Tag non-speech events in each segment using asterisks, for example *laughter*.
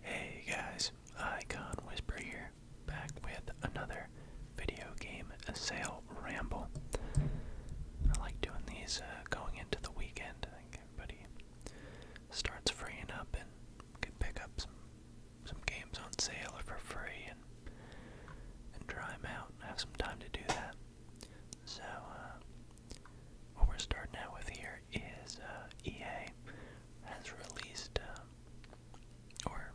Hey guys, Icon Whisper here, back with another video game sale ramble. I like doing these uh, going into the weekend. I think everybody starts freeing up and can pick up some some games on sale or for free and and try them out and have some time to do that. So uh, what we're starting out with here here is uh, EA has released, uh, or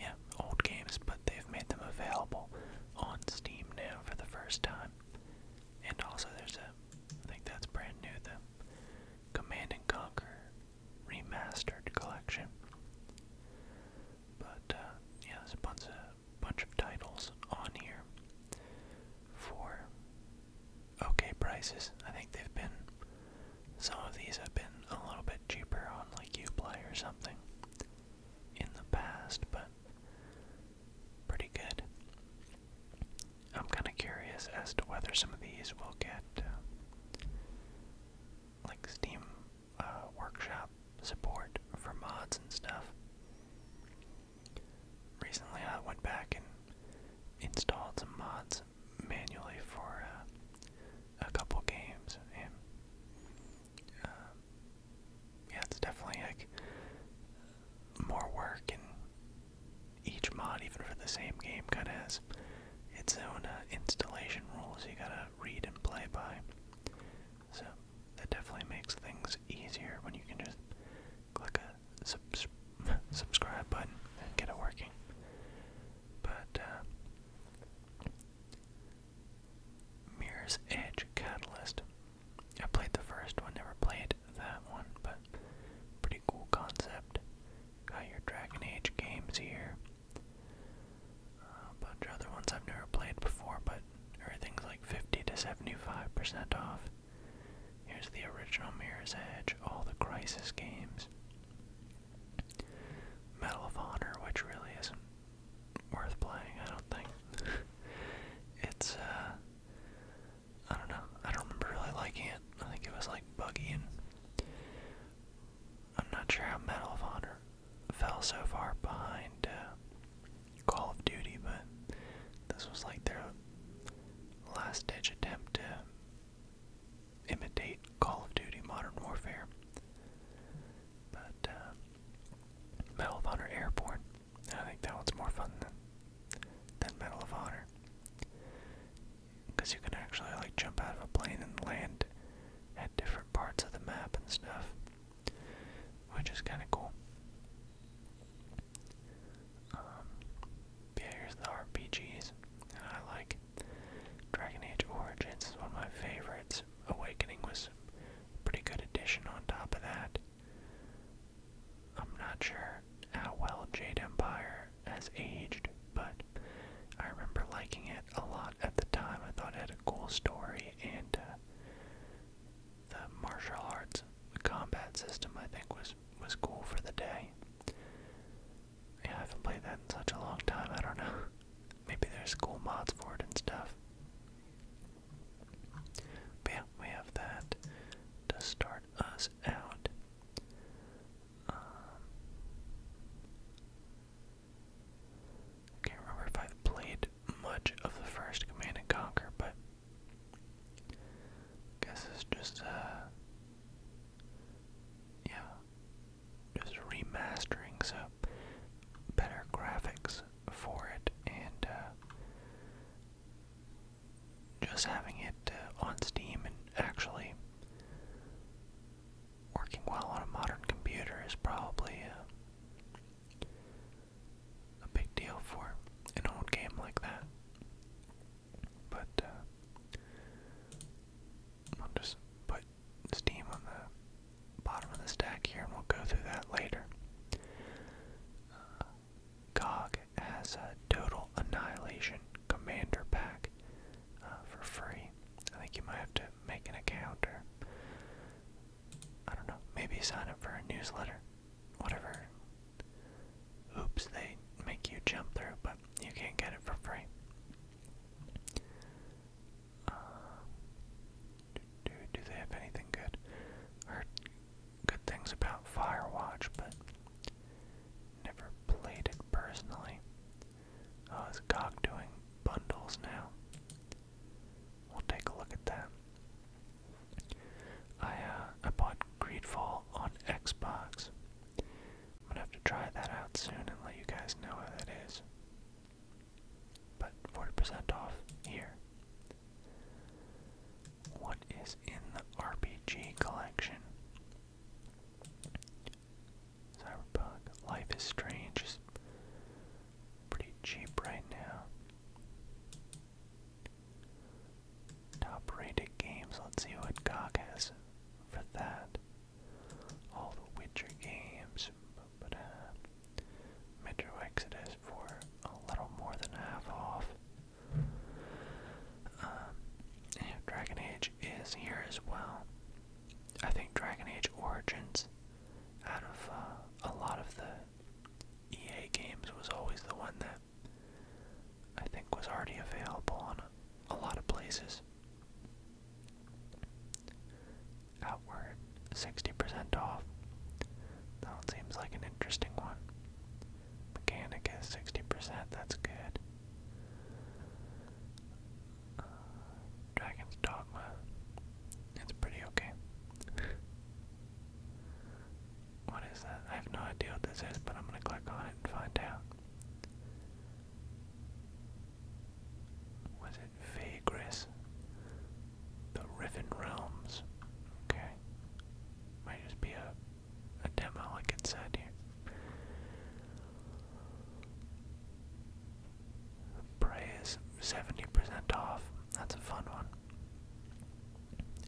yeah, old games, but they've made them available on Steam now for the first time. And also, there's a, I think that's brand new, the Command and Conquer Remastered Collection. But uh, yeah, there's a bunch of bunch of titles on here for okay prices. I think they've been some of these have been a little bit cheaper on like Uplay or something in the past, but pretty good. I'm kind of curious as to whether some of these will get uh, like Steam uh, Workshop support for mods and stuff recently I went back and installed some mods manually for uh, a couple games, and uh, yeah, it's definitely like more work, and each mod, even for the same game, kind of has its own uh, installation rules you gotta read and play by. So that definitely makes things easier when you can just click a subs subscribe button and get it working. But uh, Mirror's Edge Catalyst. I played the first one, never played that one, but pretty cool concept. Got your Dragon Age games here. a bunch of other ones I've never played before, but everything's like 50 to 75% off. Here's the original Mirror's Edge, all the Crisis games. Medal of Honor, which really isn't worth playing, I don't think. *laughs* it's, uh, I don't know. I don't remember really liking it. I think it was like buggy and I'm not sure how Medal of Honor fell so far behind uh, Call of Duty, but this was like their last ditch attempt to imitate Call of Duty Modern Warfare. But, uh, Medal of Honor Airborne. I think that one's more fun than, than Medal of Honor. Because you can actually, like, jump out of a plane and land at different parts of the map and stuff. Which is kind of cool. Um, yeah, here's the RPGs that I like. Dragon Age Origins is one of my favorites. Awakening was a pretty good addition on top of that. I'm not sure how well Jade Empire has aged, but I remember liking it a lot at the time. I thought it had a cool story and uh, the martial arts combat system I think was was was cool for the day. Yeah, I haven't played that in such a long time. I don't know. *laughs* Maybe there's cool mods for it and stuff. yeah, we have that to start us out. I um, can't remember if I've played much of the first Command and Conquer, but Guess it's just uh yeah, just remastering so better graphics for it and uh, just having it uh, on Steam and actually working well on a modern computer is probably uh, a big deal for an old game like that. But uh, I'll just put steam on the bottom of the stack here, and we'll go through that later. Uh, Gog has a total annihilation commander pack uh, for free. I think you might have to make an account or I don't know, maybe sign up for a newsletter whatever Oops, they make you jump through, but you can't get it for free. Uh, do, they have anything good? heard good things about Firewatch, but never played it personally. Oh, is GOG doing bundles now? We'll take a look at that. I uh, I bought Greedfall on Xbox. I'm gonna have to try that out soon and let you guys know how that is. But 40% off here. What is in the RPG collection? Cyberpunk. Life is Strange is pretty cheap right now. Top rated games. Let's see what GOG has for that. All the Witcher games. But, Metro Exodus for a little more than half off. Um, Dragon Age is here as well. I think Dragon Age Origins, out of uh, a lot of the EA games, was always the one that I think was already available on a lot of places. Outward, 60% off. That seems like an interesting one. Mechanicus, 60%, that's good. Uh, Dragon's Dogma, it's pretty okay. What is that? I have no idea what this is, but I'm gonna click on it and find out. Was it Vagris? The Riven Realms. Okay. Might just be a, a demo like it here. Prey is 70% off. That's a fun one.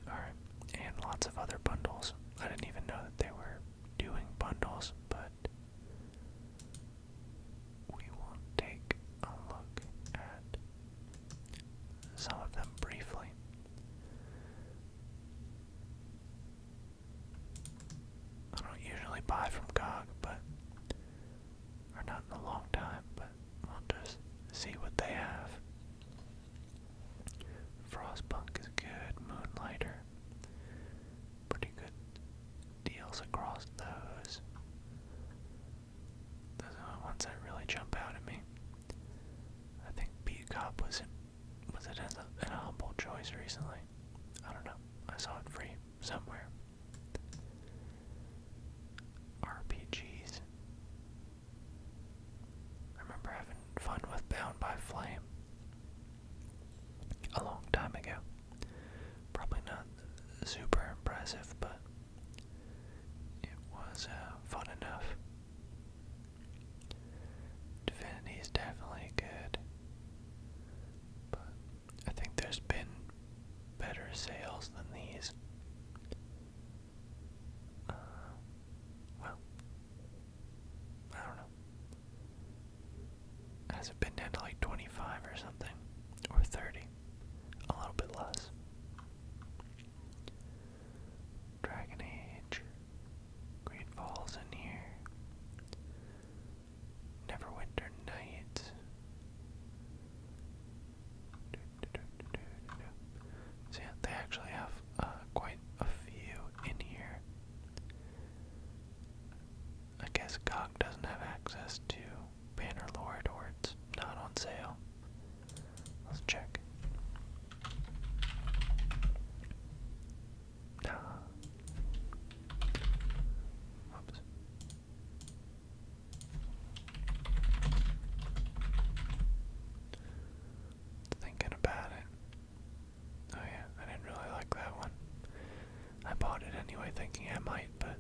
Alright, and lots of other bundles. I didn't even know that they were doing bundles, but we will take a look at some of them briefly. I don't usually buy from GOG, but or not in a long time, but we'll just see what they have. Frostpunk is good. Moonlighter. Pretty good deals across those. Those are the ones that really jump out at me. I think B Cop was it was it in a, in humble choice recently. I don't know. I saw it free somewhere. RPGs. I remember having fun with Bound by Flame a long time ago. Probably not super impressive, but it was uh, fun enough. Divinity's definitely good, but I think there's been better sales than these. Uh, well, I don't know. Has it been to like 25 or something? Or 30? A little bit less. Dragon Age. Great Falls in here. Neverwinter Night. So they actually have uh, quite a few in here. I guess Gog doesn't have access to Bannerlord or it's not on sale. Let's check. Nah. Oops thinking about it. Oh yeah, I didn't really like that one. I bought it anyway thinking I might, but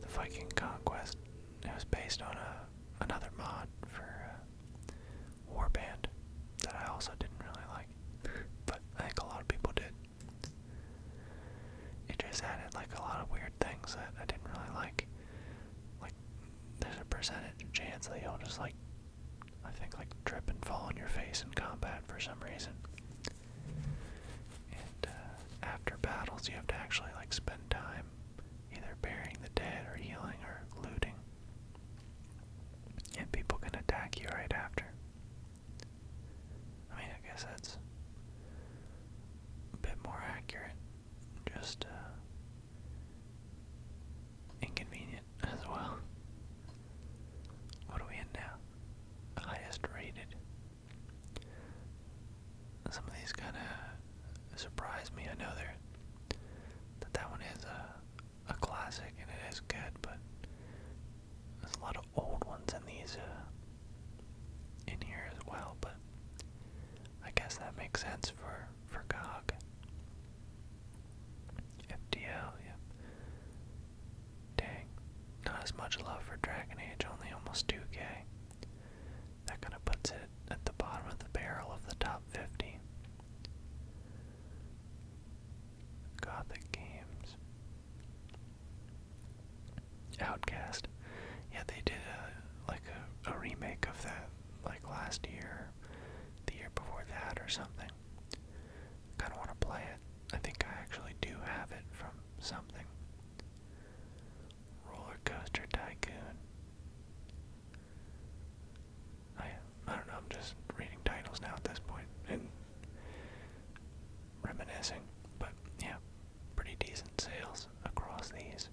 the Viking Conquest, it was based on a, uh, another mod for uh, Warband that I also didn't really like, but I think a lot of people did. It just added like a lot of weird things that I didn't really like, like there's a percentage chance that you'll just like, I think like trip and fall on your face in combat for some reason. And uh, after battles, you have to actually like spend time either burying the dead or healing or looting. And people can attack you right after. I mean, I guess that's a bit more accurate just uh, inconvenient *laughs* as well. What are we in now? Highest rated. Some of these kind of surprise me. I know they're, that that one is a, a classic and it is good, but there's a lot of old ones in these uh, in here as well. But I guess that makes sense for for GOG. FDL, yep. Dang, not as much love for Dragon Age, only almost 2k. That kind of puts it at the bottom of the barrel of the top 50. Gothic games. Outcast. Yeah, they did a like a remake of that like last year the year before that or something. Kind of want to play it. I think I actually do have it from something. Roller Coaster Tycoon. I I don't know. I'm just reading titles now at this point and reminiscing. But yeah, pretty decent sales across these.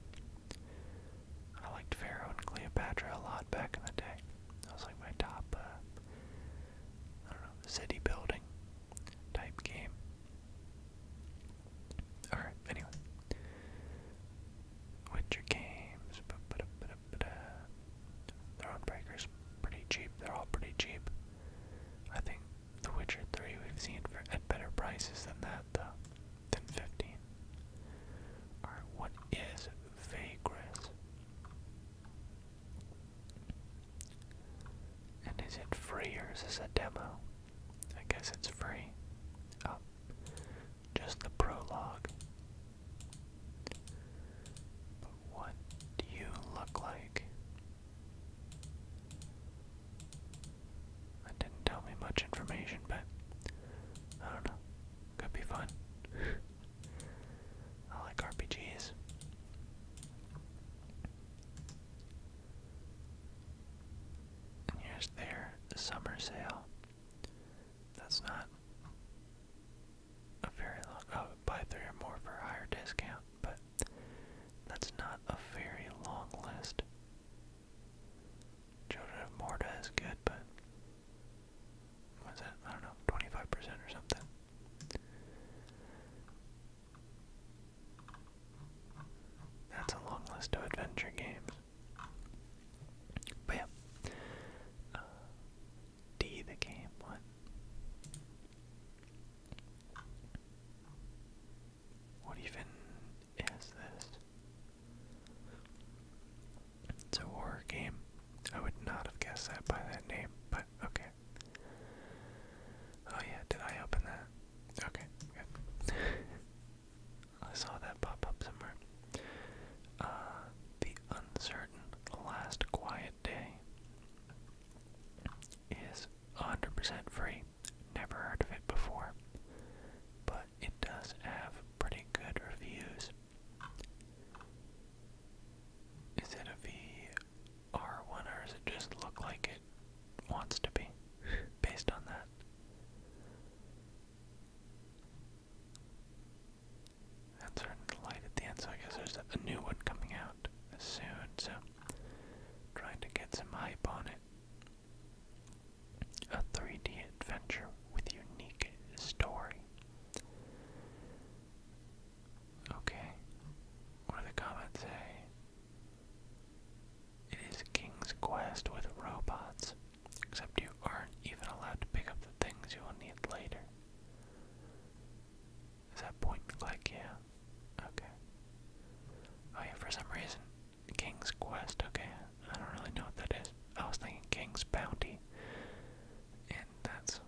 I liked Pharaoh and Cleopatra a lot back in the day. That was like my top, uh, I don't know, city building type game. Alright, anyway. Witcher games, ba -ba -da -ba pretty cheap, they're all pretty cheap. I think The Witcher 3 we've seen for, at better prices than that that though. 15. Alright, what is Vagris? And is it free or is this a demo? I guess it's free. Oh, just the prologue. But what do you look like? That didn't tell me much information, but I don't know. Could be fun. I like RPGs. And here's their summer sale. That's not a very long. Oh, buy three or more for higher discount, but that's not a very long list. Children of Morta is good, but what's that? I don't know, 25% or something. That's a long list of adventure games. But yeah. Uh, D the game, what? What even is this? It's a horror game. I would not have guessed that by that name, but okay. Oh yeah, did I open that? Okay, good. *laughs* I saw that pop up somewhere. Uh, the uncertain last quiet day is 100% free. Never heard of it before, but it does have pretty good reviews. Is it a VR1 or does it just look like it wants to be based on that? That's starting light at the end, so I guess there's a new one coming out soon, so trying to get some hype on it a 3D adventure with unique story. Okay, what do the comments say? It is King's Quest with robots, except you aren't even allowed to pick up the things you will need later. Is that point and click? Yeah. Okay. Oh for some reason, King's Quest, okay, I don't really know what that is. I was thinking King's Bounty, and that's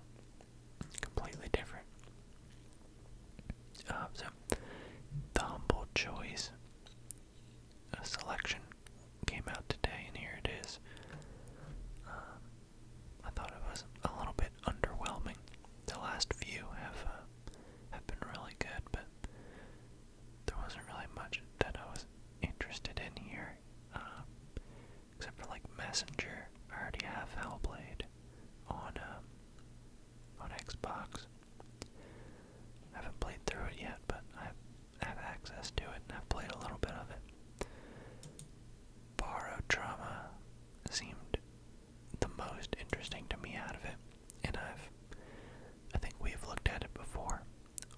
completely different. Uh, so, the Humble Choice a selection came out today, and here it is. Uh, I thought it was a little bit underwhelming. The last few have uh, have been really good, but there wasn't really much that I was interested in here, um, except for like Messenger. I already have Hellblade on um, on Xbox. I haven't played through it yet, but I have access to it, and I've played a little bit of it. Borrowed Trauma seemed the most interesting to me out of it, and I've I think we've looked at it before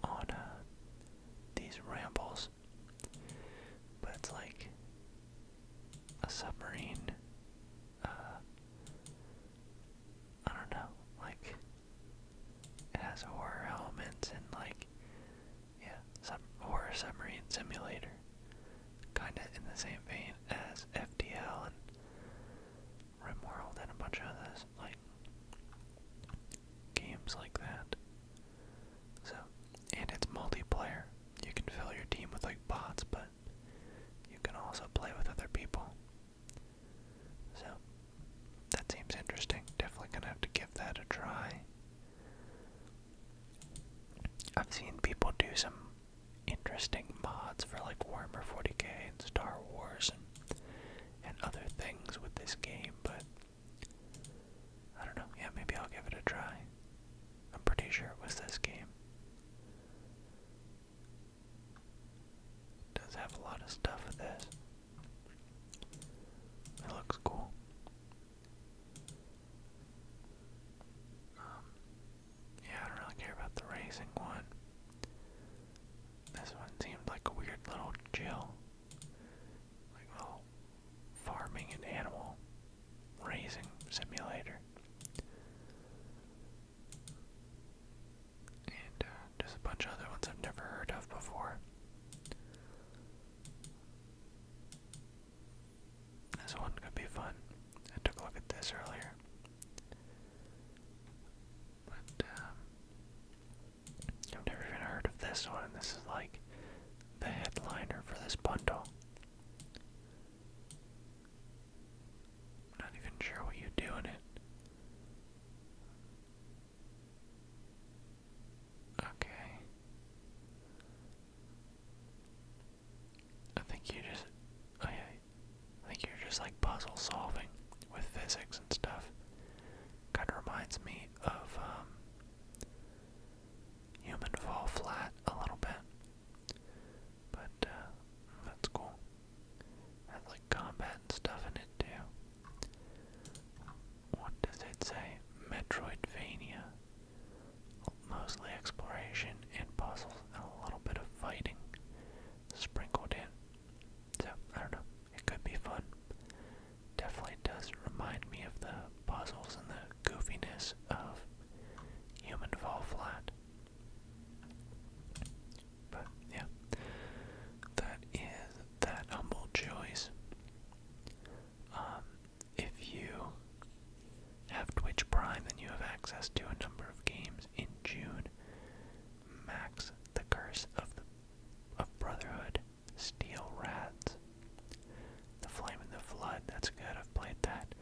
on uh, these rambles, but it's like a submarine. Uh, I don't know, like it has horror elements and like yeah, some horror submarine simulator, kind of in the same vein as FDL and Rimworld and a bunch of others. Games like that. So, and it's multiplayer. You can fill your team with like bots, but you can also play with other people. So, that seems interesting. Definitely gonna have to give that a try. I've seen people do some interesting mods for like Warhammer 40k and Star Wars and and other things with this game, but I don't know. Yeah, maybe I'll give it a try. I'm pretty sure it was this game. does have a lot of stuff with this. It looks cool. Um, yeah, I don't really care about the racing one. This one seemed like a weird little chill like, well, farming an animal raising simulator. And uh, just a bunch of other ones I've never heard of before. This one could be fun. I took a look at this earlier. But, um, I've never even heard of this one. This is like the headliner for this bundle. I'm not even sure what you do in it. Okay. I think you just. Oh I think you're just like puzzle solving with physics and stuff. Kind of reminds me of um, Human Fall Flat a little bit. But uh, that's cool. Has like combat and stuff in it too. What does it say? Metroidvania. Mostly exploration and puzzles and a little bit of fighting sprinkled in. So, I don't know. It could be fun. Definitely does remind me of the puzzles and the goofiness of Human Fall Flat. But yeah, that is that humble choice. Um, if you have Twitch Prime, then you have access to a number of games in June. Max the Curse of of Brotherhood, Steel Rats, The Flame and the Flood, that's good, I've played that.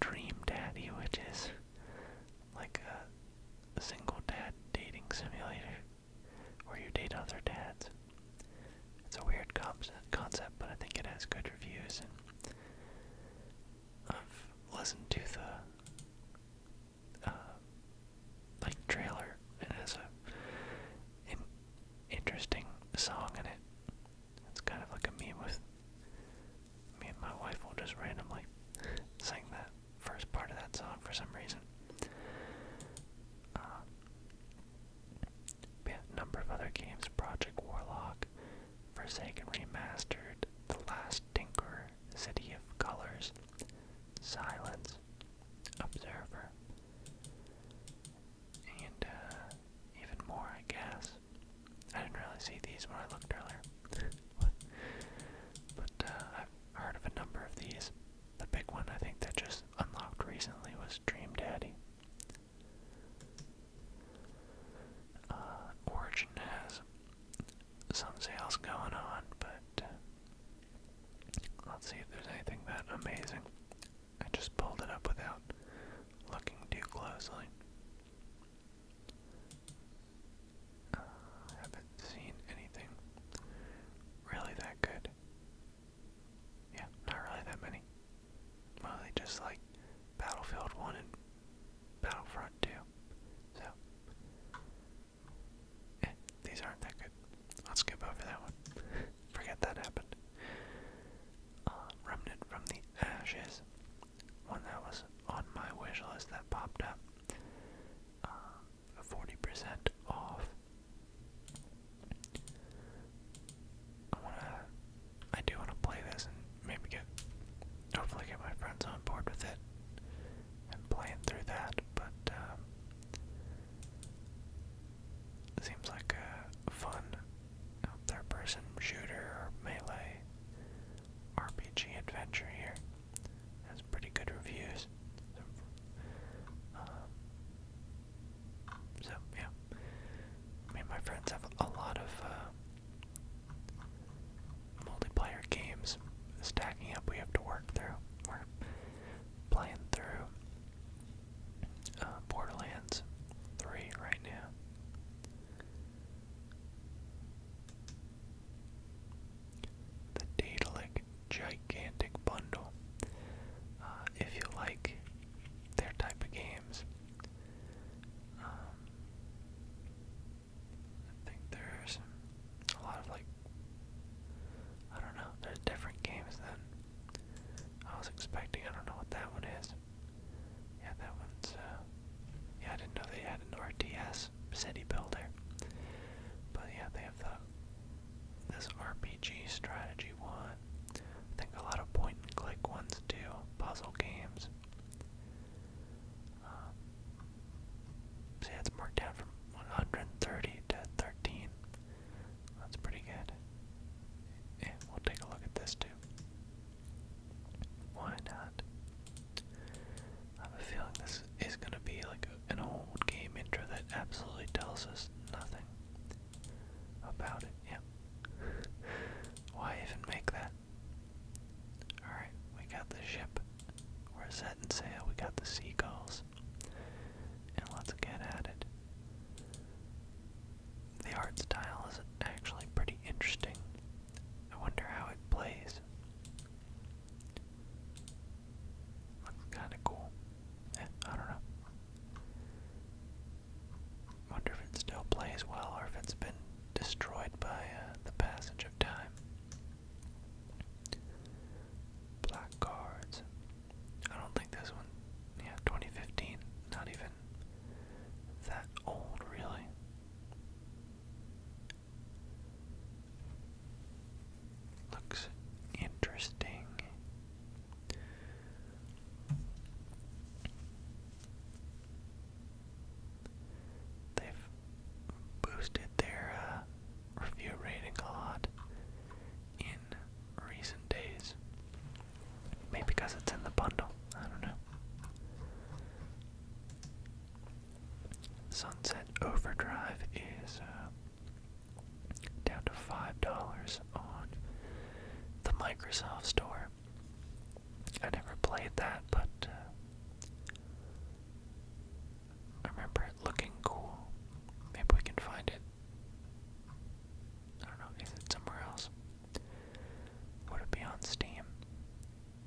Dream Daddy, which is like a single dad dating simulator where you date other dads. It's a weird concept, but I think it has good reviews, and I've listened to the uh, like trailer and has a an interesting song in it. It's kind of like a meme with me and my wife will just randomly sing that first part of that song for some reason. Uh, a number of other games, Project Warlock, Forsaken Remastered, The Last Tinker, City of Colors, Silence, observer. And uh, even more, I guess. I didn't really see these when I looked earlier. *laughs* but uh, I've heard of a number of these. The big one I think that just unlocked recently was Dream Daddy. Uh, Origin has some sales going on, but Let's see if there's anything that amazing. I just pulled it up without looking too closely. Uh, haven't seen anything really that good. Yeah, not really that many. Mostly just like Battlefield 1 and Battlefront 2. So, Eh, these aren't that good. I'll skip over that one. Forget that happened. Uh, Remnant from the Ashes. One that was on my wish that popped up. Uh, 40% off. I wanna, I do wanna play this and maybe get, hopefully get my friends on board with it and playing through that, but um, seems like a fun um, third person shooter or melee RPG adventure here. Has pretty good reviews. Um, so, yeah, me and my friends have a lot of uh, multiplayer games stacking up. We have to work through playing through uh, Borderlands 3 right now. The Daedalic Gigantic Bundle. Uh, if you like their type of games, um, I think there's a lot of like I don't know, there's different games than I was expecting. I don't know what that one is. Yeah, that one's uh yeah, I didn't know they had an RTS city builder. But yeah, they have the this RPG strategy one. I think a lot of point and click ones too, puzzle games. Um, See, it's marked down from 130 to 13. That's pretty good. And we'll take a look at this too. Why not? I have a feeling this is going to be like an old game intro that absolutely tells us nothing about it. Yeah. *laughs* Why even make that? Alright, we got the ship. We're set sail. We got the seagulls and let's get at it. The art style is actually pretty interesting. I wonder how it plays. Looks kinda cool. Eh, I don't know. Wonder if it still plays well or if it's been destroyed by uh, the passage of time black cards. I don't think this one, yeah, 2015, not even that old, really. Looks interesting. They've boosted their uh, review rating a lot in recent days. Maybe because it's in the bundle. I don't know. Sunset Overdrive is uh, down to $5 on the Microsoft Store. I never played that, but uh, I remember it looking cool. Maybe we can find it. I don't know, is it somewhere else? Would it be on Steam?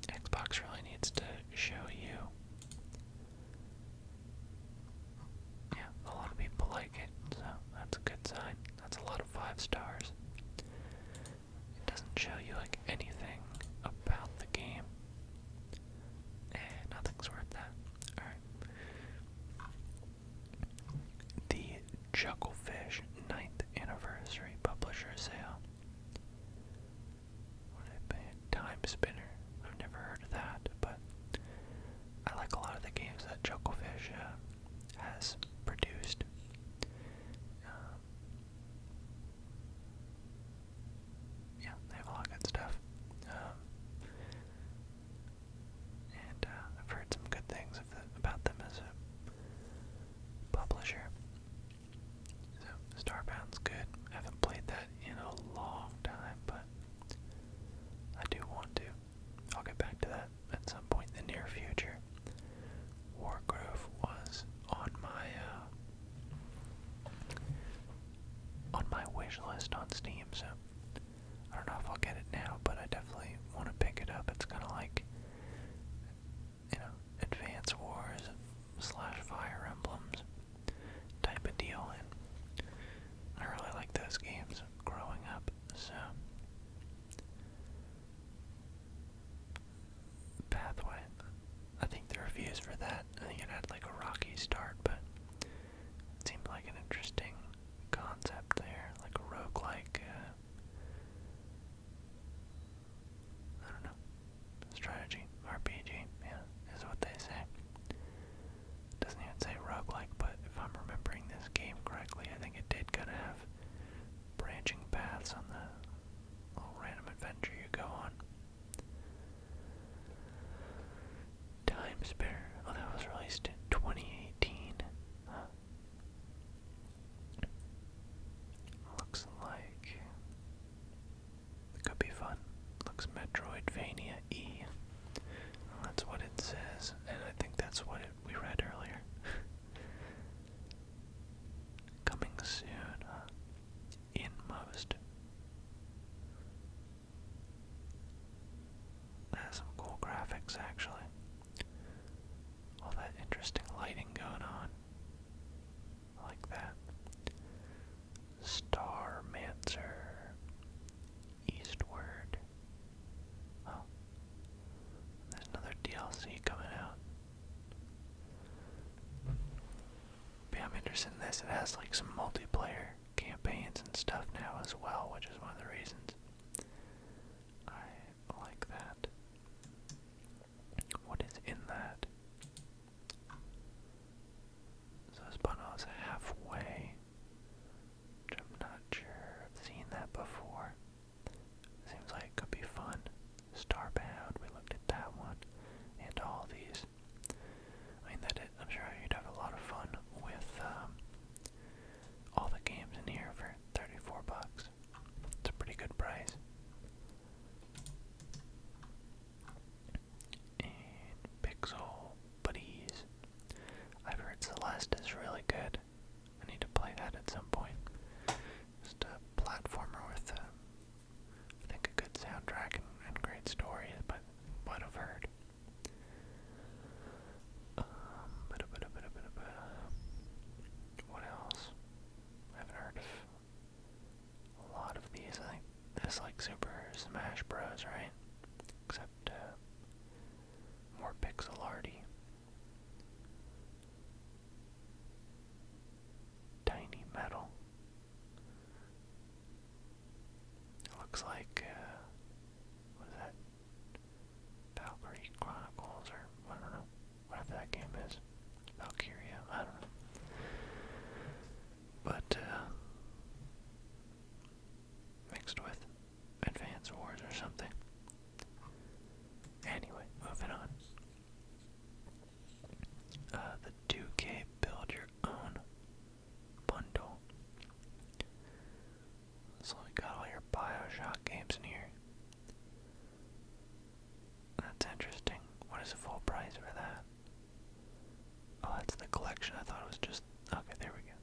Xbox really needs to show you. Yeah, a lot of people like it, so that's a good sign. That's a lot of five stars. It doesn't show you like anything about the game. Eh, nothing's worth that. Alright. The Chucklefish 9th Anniversary Publisher Sale. What did Time Spinner. I've never heard of that, but I like a lot of the games that Chucklefish uh, has produced. Um, yeah, they have a lot good stuff. Um, and uh, I've heard some good things about them as a publisher. So Starbound's good. I haven't played that in a long time, but I do want to. I'll get back to that at some point in the near future. Wargrove was on my uh, on my wish list on Steam, so I don't know if I'll get it now, but I definitely want to pick it up. It's kind of like, you know, Advance Wars slash Fire Emblems type of deal, and I really like those games growing up, so. Pathway. I think the reviews for that, I think it had like a rocky start, but it seemed like an interesting concept there, like a roguelike. Uh, I don't know. Strategy. RPG, yeah, is what they say. It doesn't even say roguelike, but if I'm remembering this game correctly, I think it did kind of have branching paths on the little random adventure you go on. Time Spare. Oh, that was released in 2018. Looks like it could be fun. Looks Metroidvania E. That's what it says, and I think that's what we read earlier. *laughs* Coming soon, Inmost. That's some cool graphics actually. All that interesting lighting going on. like that. Star Mancer. Eastward. Oh. There's another DLC coming out. But yeah, this. It has like some multiplayer campaigns and stuff now as well, which is one of the reasons I like that. What is in that? So this bundle is halfway, I'm not sure I've seen that before. Seems like it could be fun. Starbound, we looked at that one, and all these I mean, that I'm sure you'd have a lot of fun with um, all the games in here for 34 bucks. It's a pretty good price. Pixel Buddies. I've heard Celeste is really good. I need to play that at some point. Just a platformer with, a, uh, I think, a good soundtrack and, and great stories, but might have heard. Um, what else? I haven't heard of a lot of these. I think this like Super Smash Bros, right? Except uh, more pixel arty. Tiny metal. It looks like, uh, what is that? Valkyrie Chronicles, or I don't know, whatever that game is. Valkyria, I don't know. But, uh, mixed with Advance Wars or something. Anyway, moving on. Uh, the 2K Build Your Own bundle. So we got all your Bioshock games in here. That's interesting. What is the full price for that? Oh, that's the collection. I thought it was just. Okay, there we go.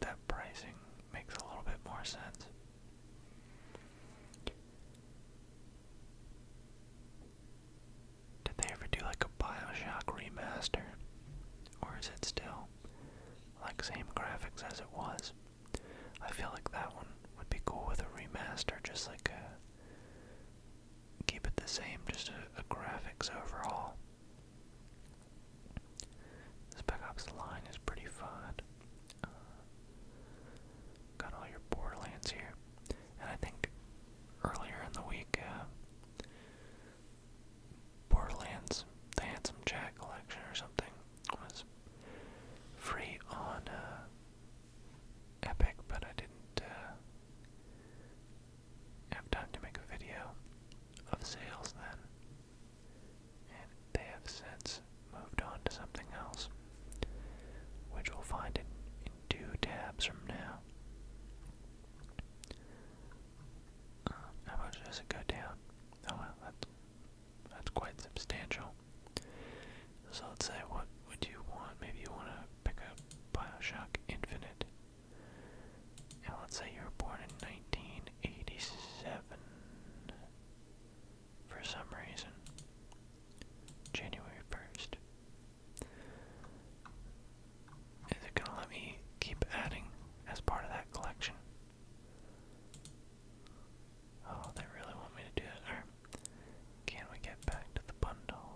That pricing makes a little bit more sense. Did they ever do like a Bioshock remaster? Or is it still like same graphics as it was? I feel like that one would be cool with a remaster, just like a keep it the same, just a, a graphics overhaul. Spec Ops line is pretty fun. Uh, got all your Borderlands here, and I think earlier in the week uh, Borderlands, the Handsome Jack collection or something, was free on uh, Epic, but I didn't uh, have time to make a video of sales then. And they have since moved on to something else, which we'll find in, in two tabs from now. Um, how much does it go down? Oh that's, that's quite substantial. So let's say, what would you want? Maybe you want to pick up Bioshock Infinite. And let's say you were born in 1987 for some reason. January 1st. Is it gonna let me keep adding as part of that collection? Oh, they really want me to do it. Can we get back to the bundle?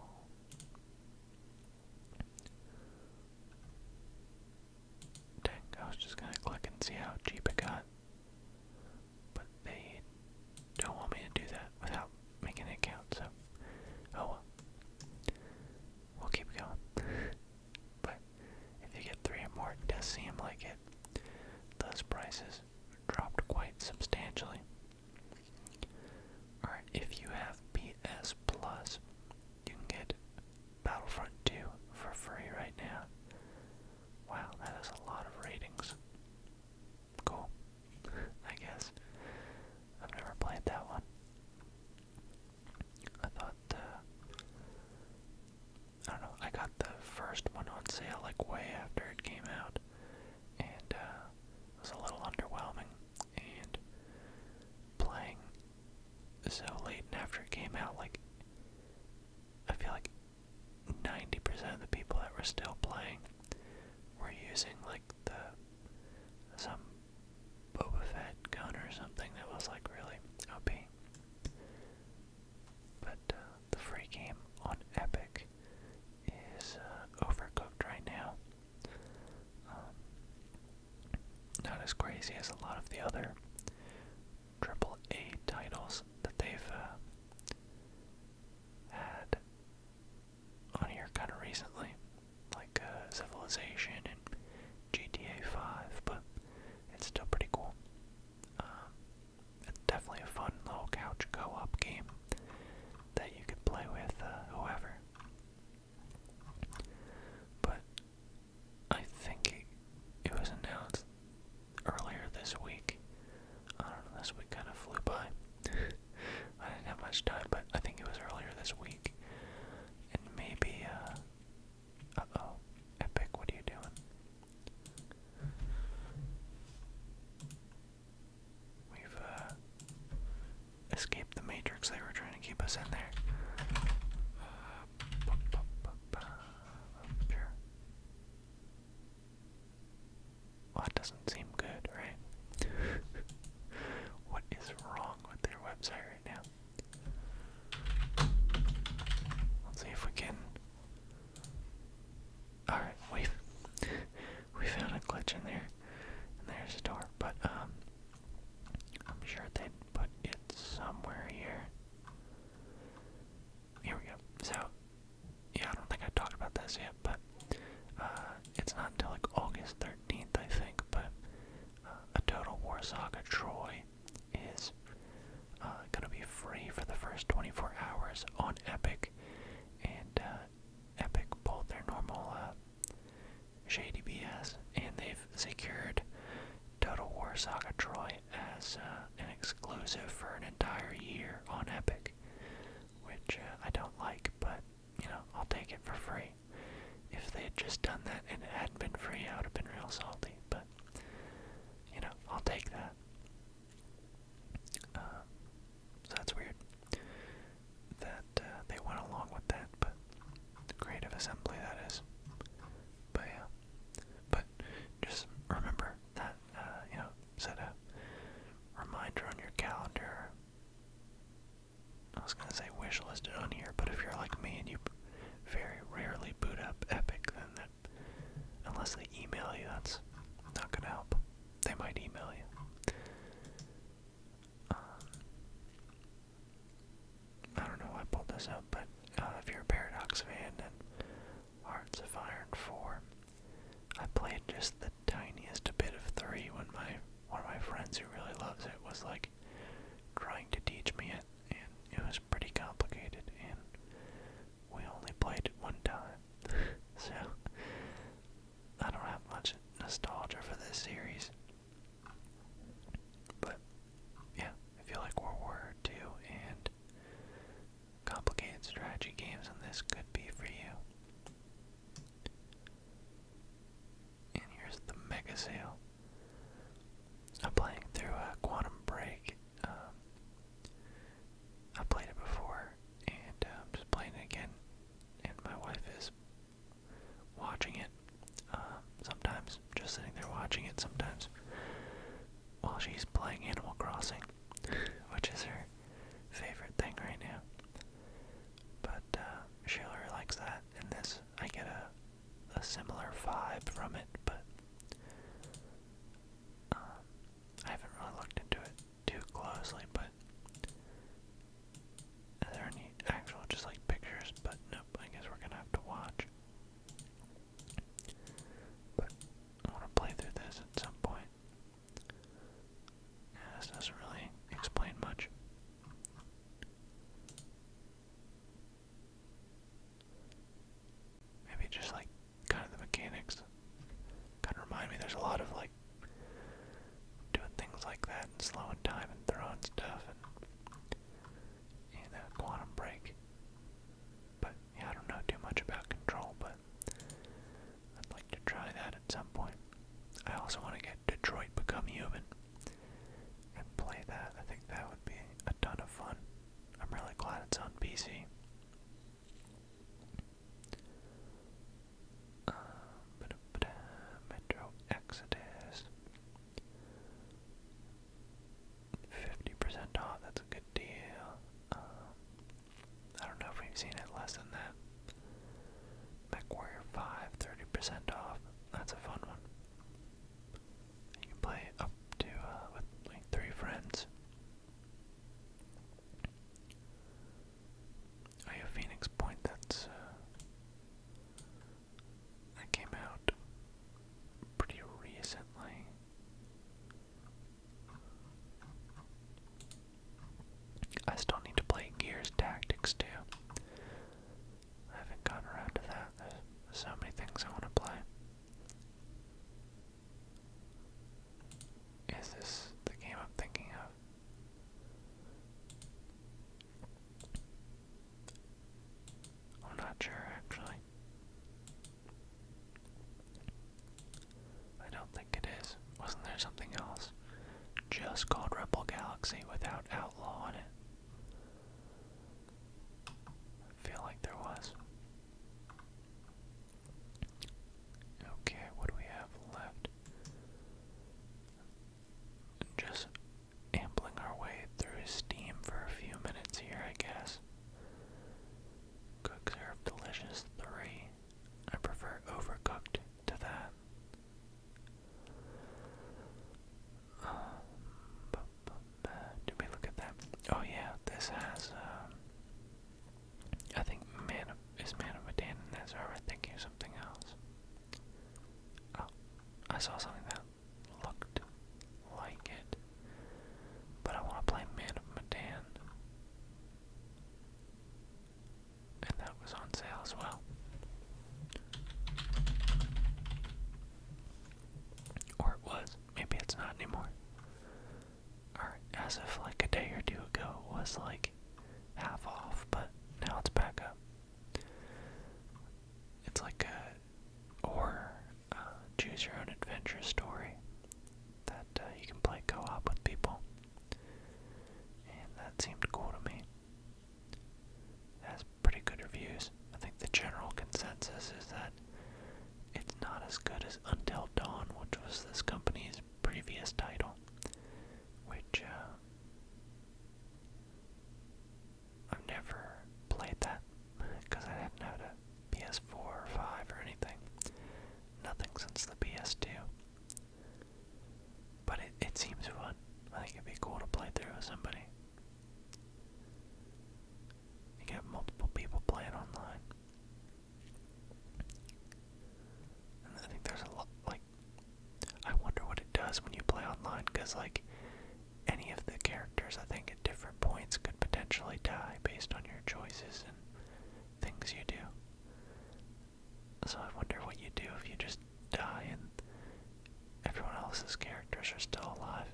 Dang, I was just gonna click and see how cheap it got. But they don't want me to do that without making an account, so. Oh well we'll keep going. but if you get three or more, does seem like it. Those prices dropped quite substantially. Or if you have PS Plus, you can get Battlefront 2 for free right now. Wow, that is a lot of ratings. Cool, I guess. I've never played that one. I thought the. Uh, I don't know, I got the first one on sale like way after it came out, and uh, it was a little underwhelming. And playing so late and after it came out, like, I feel like 90% of the people that were still playing were using like the some Boba Fett gun or something that was like really OP. But uh, the free game on Epic is uh, overcooked right now. Um, not as crazy as a lot of the other triple titles that they've uh, had on here kind of recently, like uh, Civilization and GTA 5, but it's still pretty cool. Um, it's definitely a fun little couch co-op game that you can play with uh, whoever. But I think it, it was announced earlier this week. I don't know, this week kind of flew by. *laughs* I didn't have much time, but I think it was earlier this week and maybe, uh. Uh oh. Epic, what are you doing? We've, uh, Escaped the matrix they were trying to keep us in there. Uh, Well, that doesn't seem good, right? *laughs* what is wrong with their website right now. Let's see if we can. Alright, we *laughs* we found a glitch in there. And there's a door, but um I'm sure they'd put it somewhere here. Here we go. So yeah, I don't think I talked about this yet, but uh it's not until like August 13th, I think, but a Total War Saga Troy is uh, going to be free for the first 24 hours on Epic, and uh, Epic pulled their normal uh, shady BS, and they've secured Total War Saga Troy as uh, an exclusive for an entire year on Epic, which I don't like, but you know I'll take it for free free. If they had just done that and it hadn't been free, I would have been real salty. But you know, I'll take that. Uh, so that's weird that uh, they went along with that, but creative assembly that is. But yeah, but just remember that uh, you know set a reminder on your calendar I was gonna say wish listed on here, but if you're like me and you very rarely boot up Epic, then that, unless they email you, that's not gonna help. They might email you. Um, I don't know why I pulled this up, but uh, if you're a Paradox fan and Hearts of Iron 4, I played just the tiniest bit of 3 when my one of my friends who really loves it was like trying to teach me it, and it was pretty complicated, and we only played it one time. *laughs* so, I don't have much nostalgia for this series. But, yeah, I feel like World War II and complicated strategy games, and this could be for you. And here's the mega sale. I'm playing through a Quantum Break. Um, I played it before, and I'm um, just playing it again. And my wife is watching it. Um, sometimes just sitting there watching it. Sometimes while she's playing Animal Crossing, which is her favorite thing right now. But uh, she really likes that, and this I get a, a similar vibe from it, but um, I haven't really looked into it too closely. But are there any actual just like pictures? But nope. I guess we're gonna have to watch. But I want to play through this at some point. Yeah, this doesn't really explain much. Maybe just like kind of the mechanics. Kind of remind me there's a lot of like doing things like that and slowing time and throwing stuff and and a quantum break. But yeah, I don't know too much about control, but I'd like to try that at some point. I also want to get Detroit Become Human and play that. I think that would be a ton of fun. I'm really glad it's on PC. Um, Metro Exodus. 50% off, that's a good deal. Um, I don't know if we've seen it less than that. MechWarrior 5, percent off. That's a fun one. You play up to, uh, with three friends. Oh yeah, Phoenix Point, that's, uh, that came out pretty recently. I still need to play Gears Tactics too. I haven't gotten around to that. There's so many things I want to play. Is this the game I'm thinking of? I'm not sure actually. I don't think it is. Wasn't there something else? just called Rebel Galaxy without Outlaw on it. feel like there was. Okay, what do we have left? Just ampling our way through Steam for a few minutes here, I guess. Cook Serve Delicious 3. I prefer overcooked to that. Um, we look at that? Oh yeah, this has, um, I think man is man of a Dan, and that's already thinking something else. Oh, I saw something that looked like it, but I want to play Man of Medan and that was on sale as well. Or it was. Maybe it's not anymore. Or as if like a day or two ago it was like half off, but now it's back up. It's like a horror choose your own adventure story that uh, you can play co op with people. And that seemed cool to me has pretty good reviews. I think the general consensus is that it's not as good as Until Dawn, which was this company's previous title, which uh, I've never played that because I didn't have a PS4 or 5 or anything. Nothing since the PS2. But it, it seems fun. I think it'd be cool to play through with somebody. You get multiple people playing online. And I think there's a lot, like, I wonder what it does when you play online, because, like, any of the characters, I think, at different points could potentially die based on your choices and things you do. So I wonder what you do if you just die and everyone else's characters are still alive.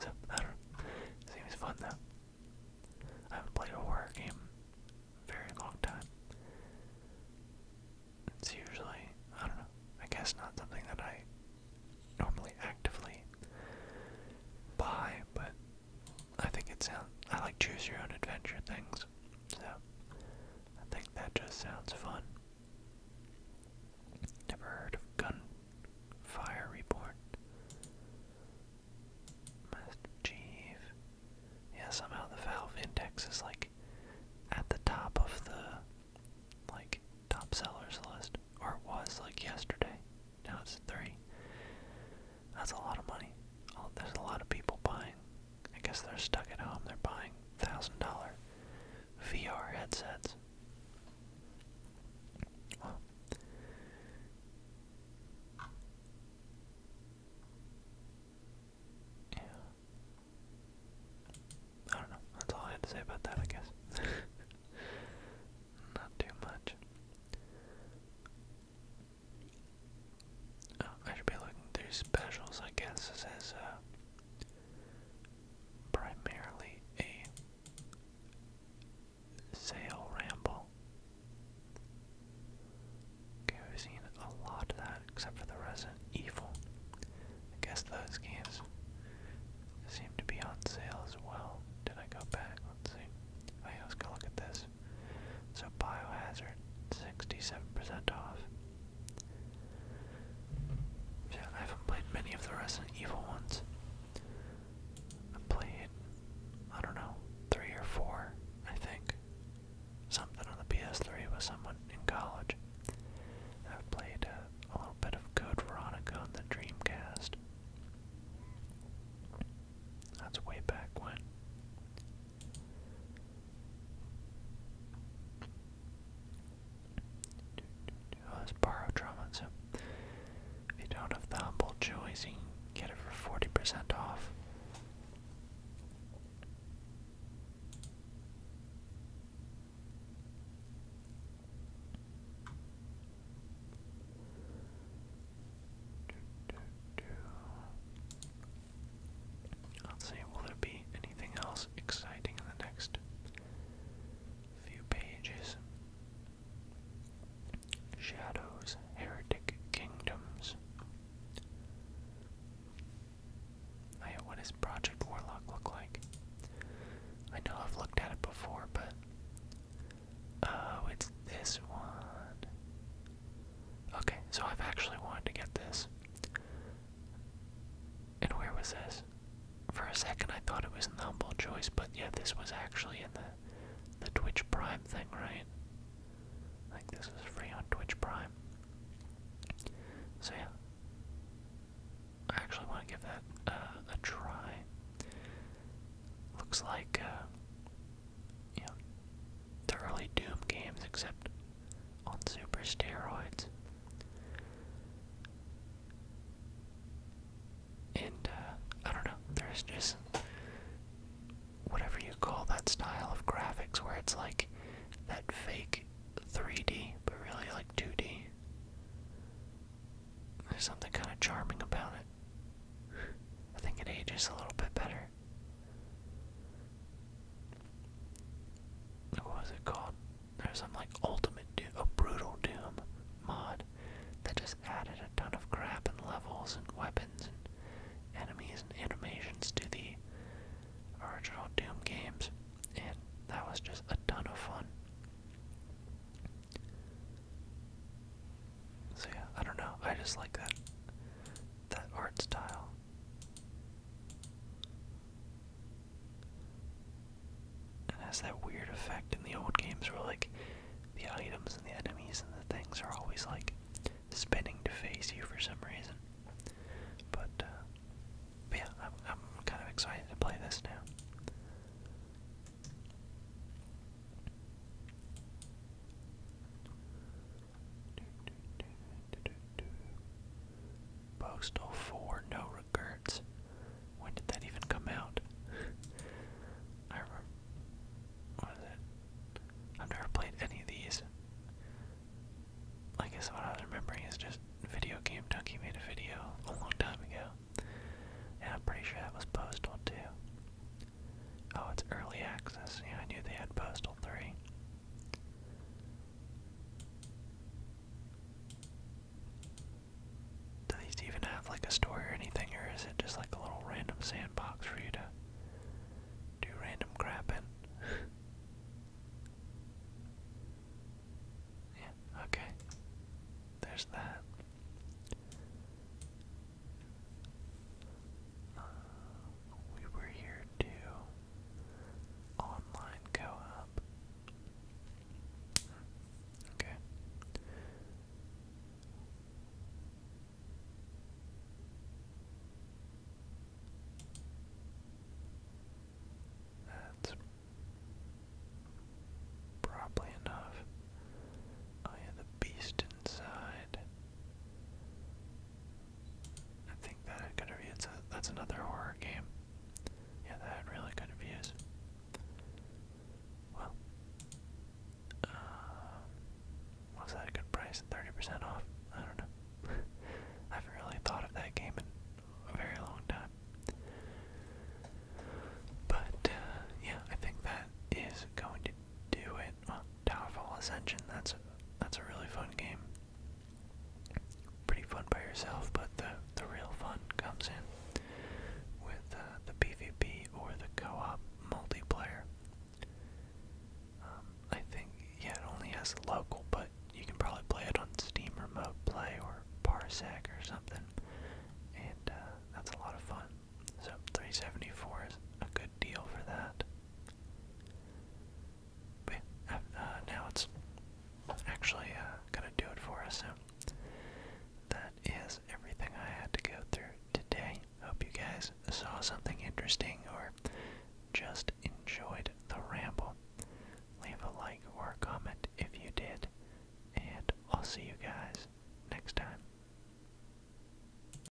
so, I don't Seems fun though. I haven't played a horror game very long time. It's usually, I don't know, I guess not something that I normally actively buy, but I think it sounds. I like choose your own adventure things. So I think that just sounds fun. Never heard of Gunfire Reborn. Master Chief. Yeah, somehow the Valve Index is like at the top of the like top sellers list, or was like yesterday. Now it's three. That's a lot of money. Oh, there's a lot of people buying. I guess they're stuck at home. They're buying thousand dollar VR headsets. yeah. I don't know. That's all I had to say about that, I guess. *laughs* Not too much. Oh, I should be looking through specials, I guess. This is uh, primarily a sale ramble. Okay, we've seen a lot of that, except for the Resident Evil. I guess those games seem to be on sale as well. Did I go back? Let's see. I was gonna look at this bucks. So Biohazard, 67% off. Yeah, I haven't played many of the Resident Evil ones. I played, I don't know, three or four, I think. Something on the PS3 with someone in college. I've played a little bit of Code Veronica on the Dreamcast. That's way back when. Oh, it's borrowed trauma, so if you don't have the humble joys, you can get it for 40% off i do, do. Let's see, will there be anything else exciting in the next few pages? Shadows, Heretic Kingdoms. I, oh what does Project Warlock look like? I know I've looked at it before, but. Oh, it's this one. Okay, so I've actually wanted to get this. And where was this? For a second I thought it was in the choice, but yeah, this was actually in the the Twitch Prime thing, right? Like this is free on Twitch Prime. So yeah. I actually want to give that uh, a try. Looks like uh, you know, the early Doom games, except on super steroids. And, uh, I don't know, there's just whatever you call that style of graphics where it's like that fake 3D, but really like 2D. There's something kind of charming about it. I think it ages a little bit better. What was it called? There's some like ultimate a brutal doom mod that just added a ton of crap and levels and weapons and enemies and animations to the original Doom games, and that was just a ton of fun. So yeah, I don't know. I just like that that art style. and has that weird effect in the old games where, like, the items and the enemies and the things are always, like, spinning to face you for some reason. But, uh, yeah, I'm kind of excited to play this now. Postal 4, no regrets. When did that even come out? I remember. What is it? I've never played any of these. I guess what I am remembering is just video game Donkey made a video a long time ago. And I'm pretty sure that was Postal too. Oh, it's early access. Yeah, I knew they had Postal 3. Do these even have like a story or anything, or is it just like a little random sandbox for you to do random crap in? *laughs* yeah, okay. There's that. Uh, we were here to online go up. Okay. That's probably enough. I oh, have yeah, the beast inside. I think that had good reviews. It's a, that's another horror game. Yeah, that had really good reviews. Well, uh, was that a good price? 30% off? I don't know. *laughs* I haven't really thought of that game in a very long time. But, uh, yeah, I think that is going to do it. Well, Towerfall Ascension, that's a, that's a really fun game. Pretty fun by yourself, but the, the real fun comes in with uh, the PvP or the co-op multiplayer. Um, I think, yeah, it only has local, but you can probably play it on Steam Remote Play or Parsec or something, and uh, that's a lot of fun. So 374 is a good deal for that. Uh, now it's actually uh, gonna do it for us. So that is everything I had to go through today. Hope you guys saw something interesting or just enjoyed the ramble. Leave a like or comment if you did, and I'll see you guys next time.